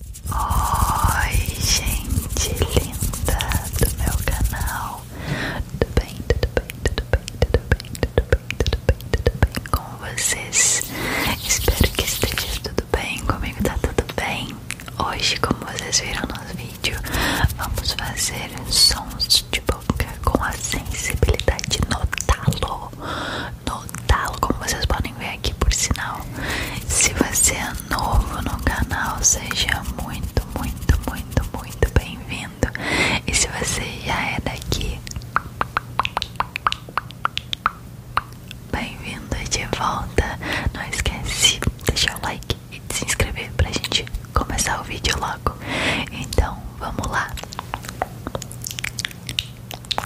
Oi, gente linda do meu canal. Tudo bem, tudo bem, tudo bem, tudo bem, tudo bem, tudo bem, tudo bem com vocês? Espero que esteja tudo bem. Comigo tá tudo bem. Hoje, como vocês viram no vídeo, vamos fazer sons de boca com a sensibilidade no talo anotá como vocês podem ver aqui por sinal. Se você é novo no canal, seja muito, muito, muito, muito bem-vindo. E se você já é daqui, bem-vindo de volta. Não esquece de deixar o like e se inscrever para a gente começar o vídeo logo. Então, vamos lá.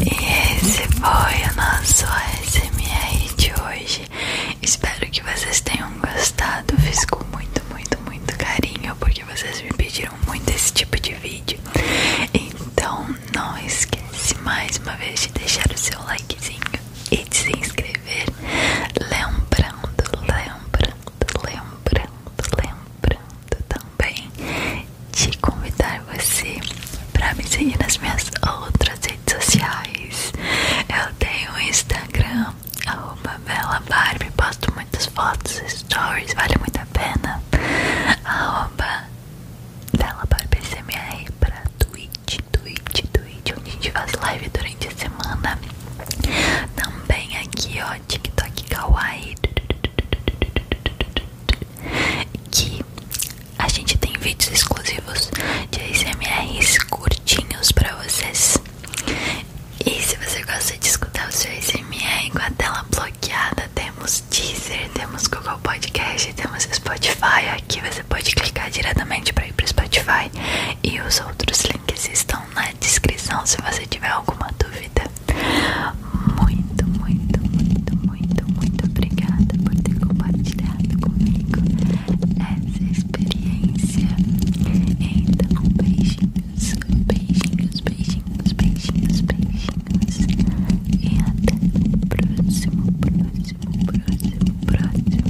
E esse foi o nosso SMR de hoje. Espero que vocês tenham gostado. Fiz com muito, muito, muito carinho porque vocês me pediram muito esse tipo de vídeo. Então, não esquece mais uma vez de deixar o seu likezinho e de se inscrever. Lembrando, lembrando, lembrando, lembrando também de convidar você para me seguir nas minhas outras redes sociais. Eu tenho Instagram, arroba posto muitas fotos, stories, vale muito a pena dela para o PCMR, para Twitch, Twitch, Twitch, onde a gente faz live durante a semana. Também aqui, ó, TikTok Kawaii. Que a gente tem vídeos exclusivos de ASMRs curtinhos para vocês. E se você gosta de escutar o seu ASMR com a tela bloqueada, até temos Deezer, temos Google Podcast, temos Spotify. Aqui você pode clicar diretamente para ir para Spotify. E os outros links estão na descrição se você tiver alguma dúvida. Muito, muito, muito, muito, muito obrigada por ter compartilhado comigo essa experiência. Então, beijinhos, beijinhos, beijinhos, beijinhos, beijinhos. amigos e até o próximo, próximo, próximo, próximo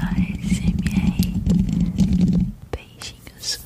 ASMR Beijinhos